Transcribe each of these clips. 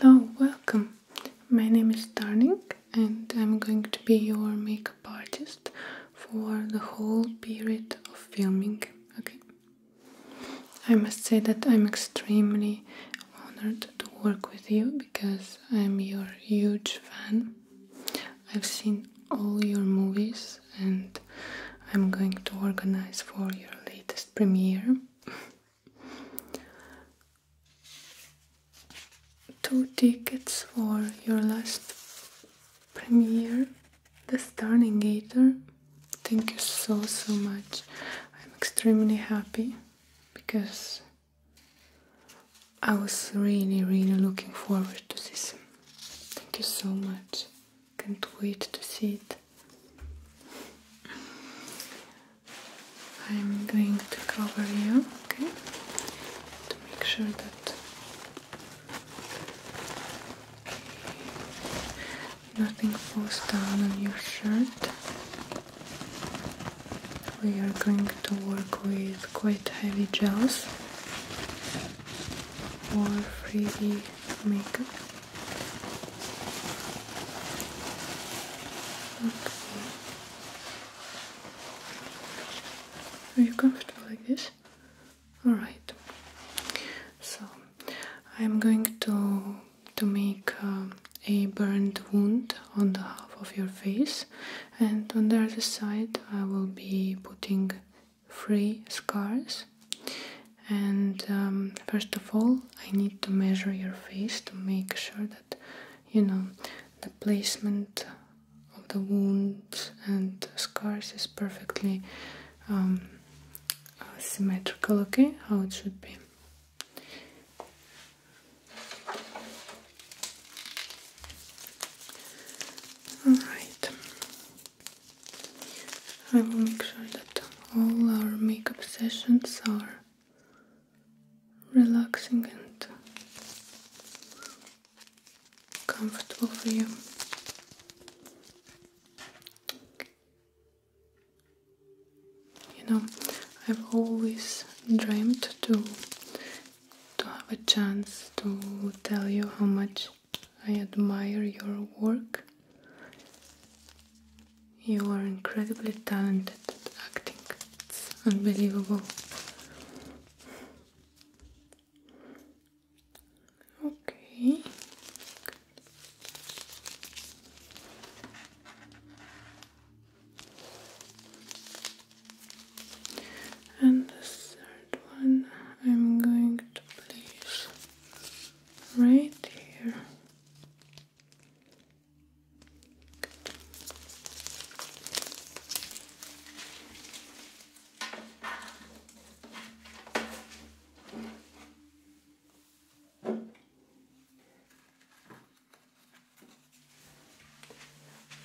Hello, welcome. My name is Darning and I'm going to be your makeup artist for the whole period of filming, okay? I must say that I'm extremely honored to work with you because I'm your huge fan. I've seen all your movies and I'm going to organize for your latest premiere. Two tickets for your last premiere the gator. Thank you so so much. I'm extremely happy because I was really really looking forward to this. Thank you so much. Can't wait to see it. I'm going to cover you, okay? To make sure that Nothing falls down on your shirt. We are going to work with quite heavy gels or 3D makeup. Okay. Are you comfortable like this? Alright, so I'm going to to make uh, a burned wound on the half of your face, and on the other side I will be putting three scars. And um, first of all, I need to measure your face to make sure that you know the placement of the wounds and scars is perfectly um, symmetrical, okay? How it should be. Alright, I will make sure that all our makeup sessions are relaxing and comfortable for you. You know, I've always dreamed to to have a chance to tell you how much I admire your work. You are incredibly talented at acting. It's unbelievable. Okay. And the third one I'm going to place right here.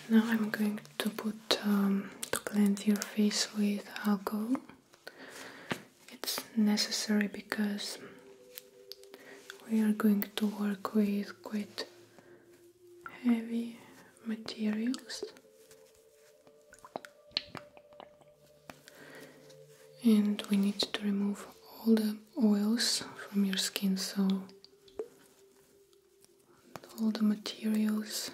Now I'm going to put um, to cleanse your face with alcohol. It's necessary because we are going to work with quite heavy materials and we need to remove all the oils from your skin so all the materials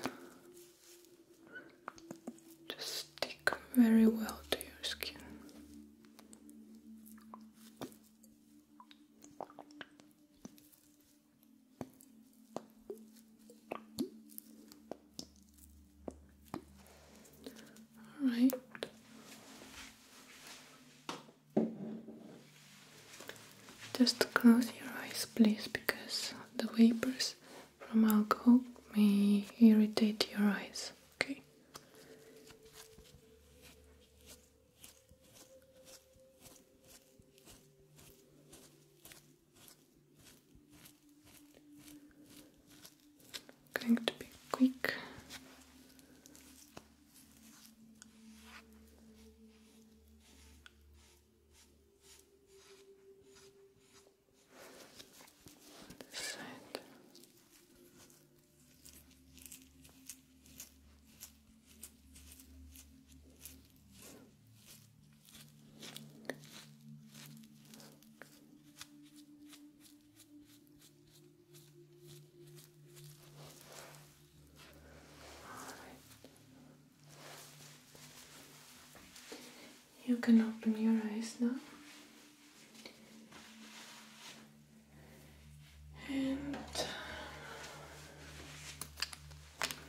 just stick very well to your skin all right. Just close your eyes, please, because the vapors from alcohol may irritate your eyes. Okay. I'm going to be quick. This side. You can open your eyes now. And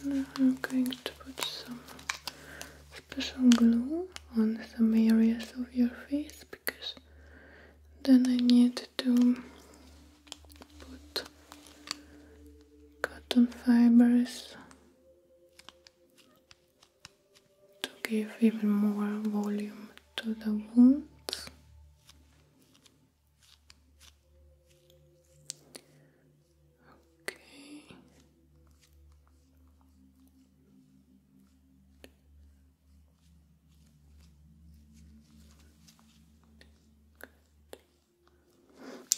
now I'm going to put some special glue on some areas of your face because then I need to put cotton fibers to give even more volume to the wounds.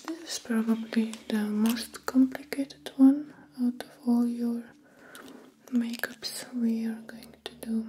This is probably the most complicated one out of all your makeups we are going to do.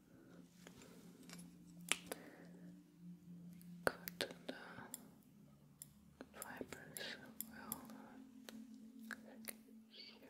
Cotton fibers will here.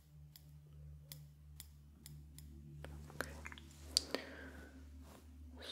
Okay. Some more. Okay.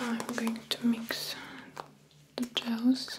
I'm going to mix the gels.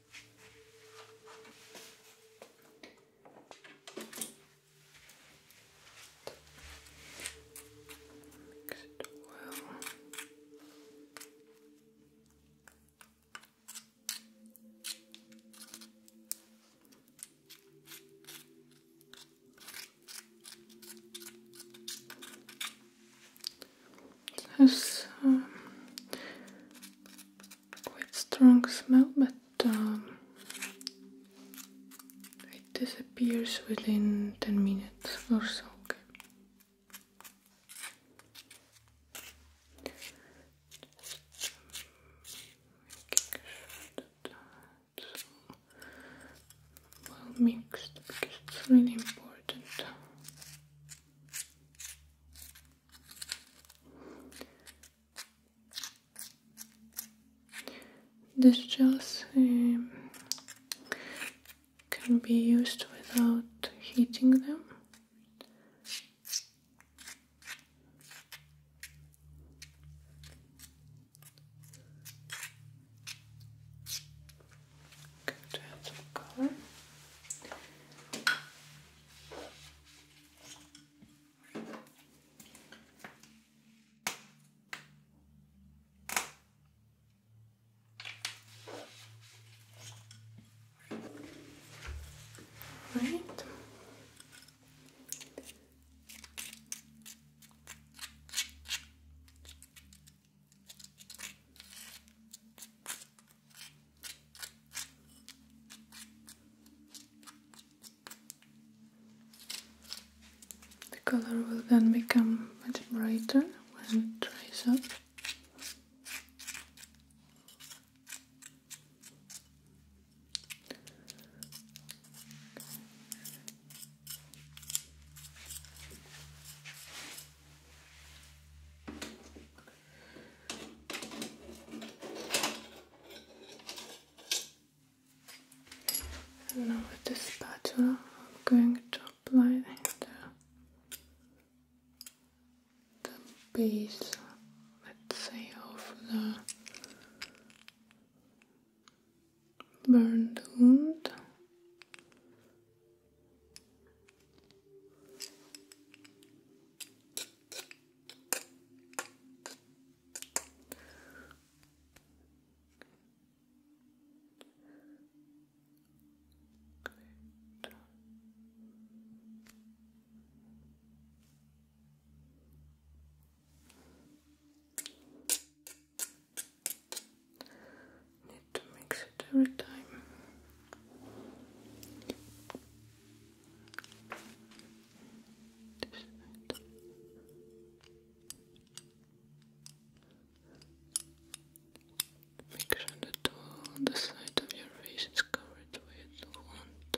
Mix it well has um, quite strong smell, but um, it disappears within 10 minutes or so. Okay. It's well because it's really important. This gel um, can be used without heating them. Good hands of color. Right. The color will then become much brighter when it dries up now with the spatula, I'm going to apply the, the base, let's say, of the burned wound Great. Good. Need to mix it every time. Make sure that all the side of your face is covered with want.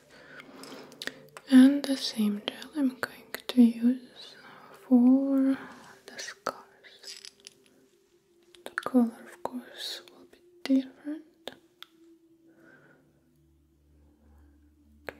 and the same gel I'm going to use for the scars. The color, of course, will be different. Okay.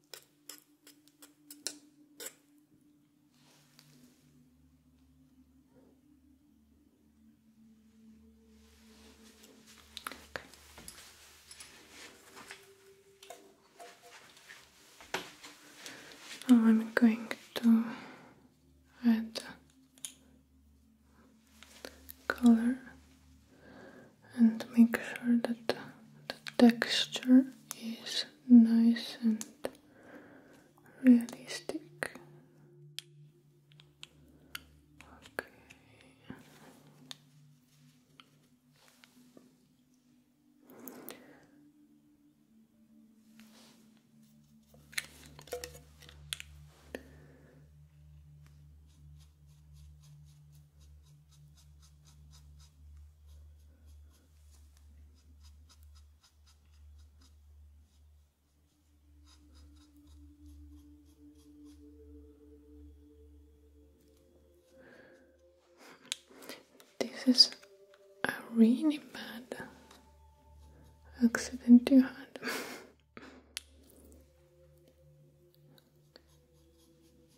Now I'm going to add color and make sure that the texture is nice and realistic. Okay. This is a really bad accident you had.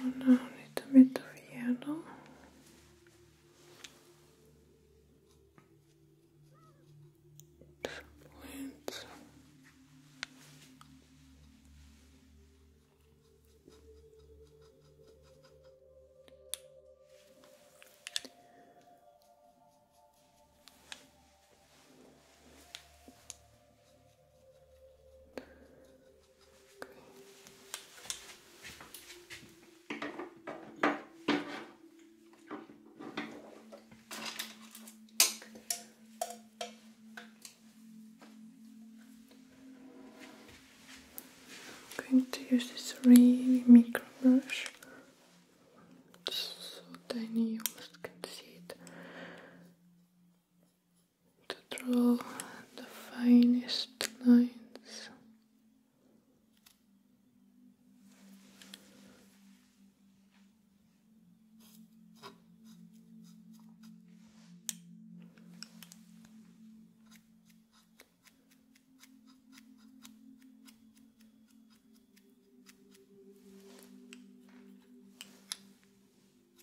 So now a little bit of yellow. Wait. I'm going to use this really micro brush. It's so tiny you almost can't see it to draw the finest lines.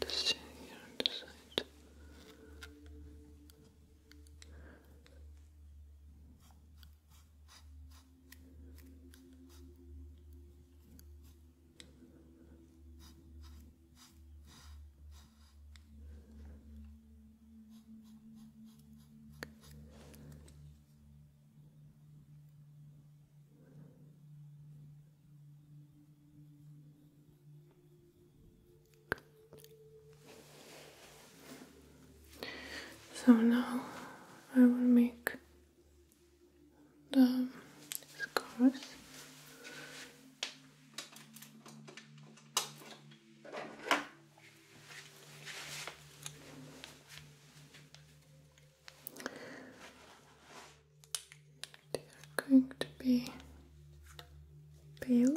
Just here the side. So now I will make the scars. They are going to be pale.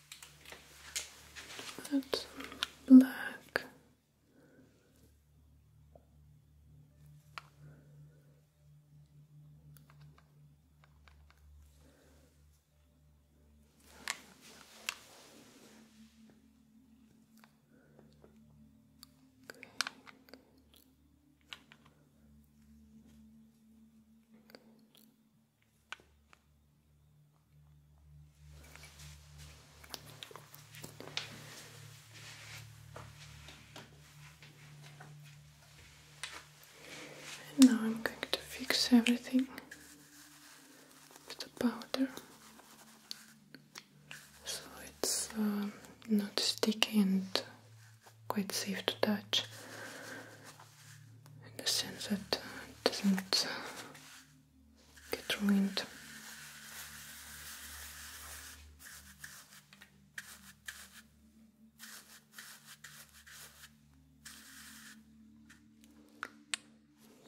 That's black now I'm going to fix everything with the powder so it's um, not sticky and quite safe to touch in the sense that uh, it doesn't uh, get ruined.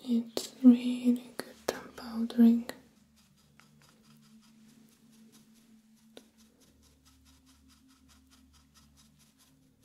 It's really good powdering.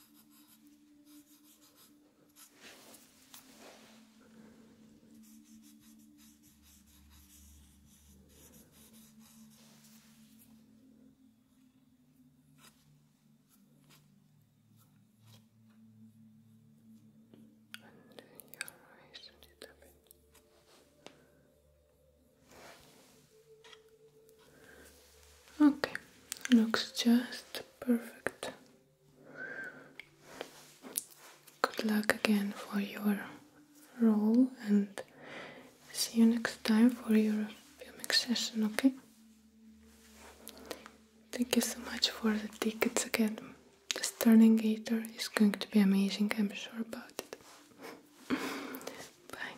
and your eyes a little bit. Okay, looks just perfect. Good luck again for your role and see you next time for your filming session, okay? Thank you so much for the tickets again. The Sterling Gator is going to be amazing, I'm sure about it. Bye.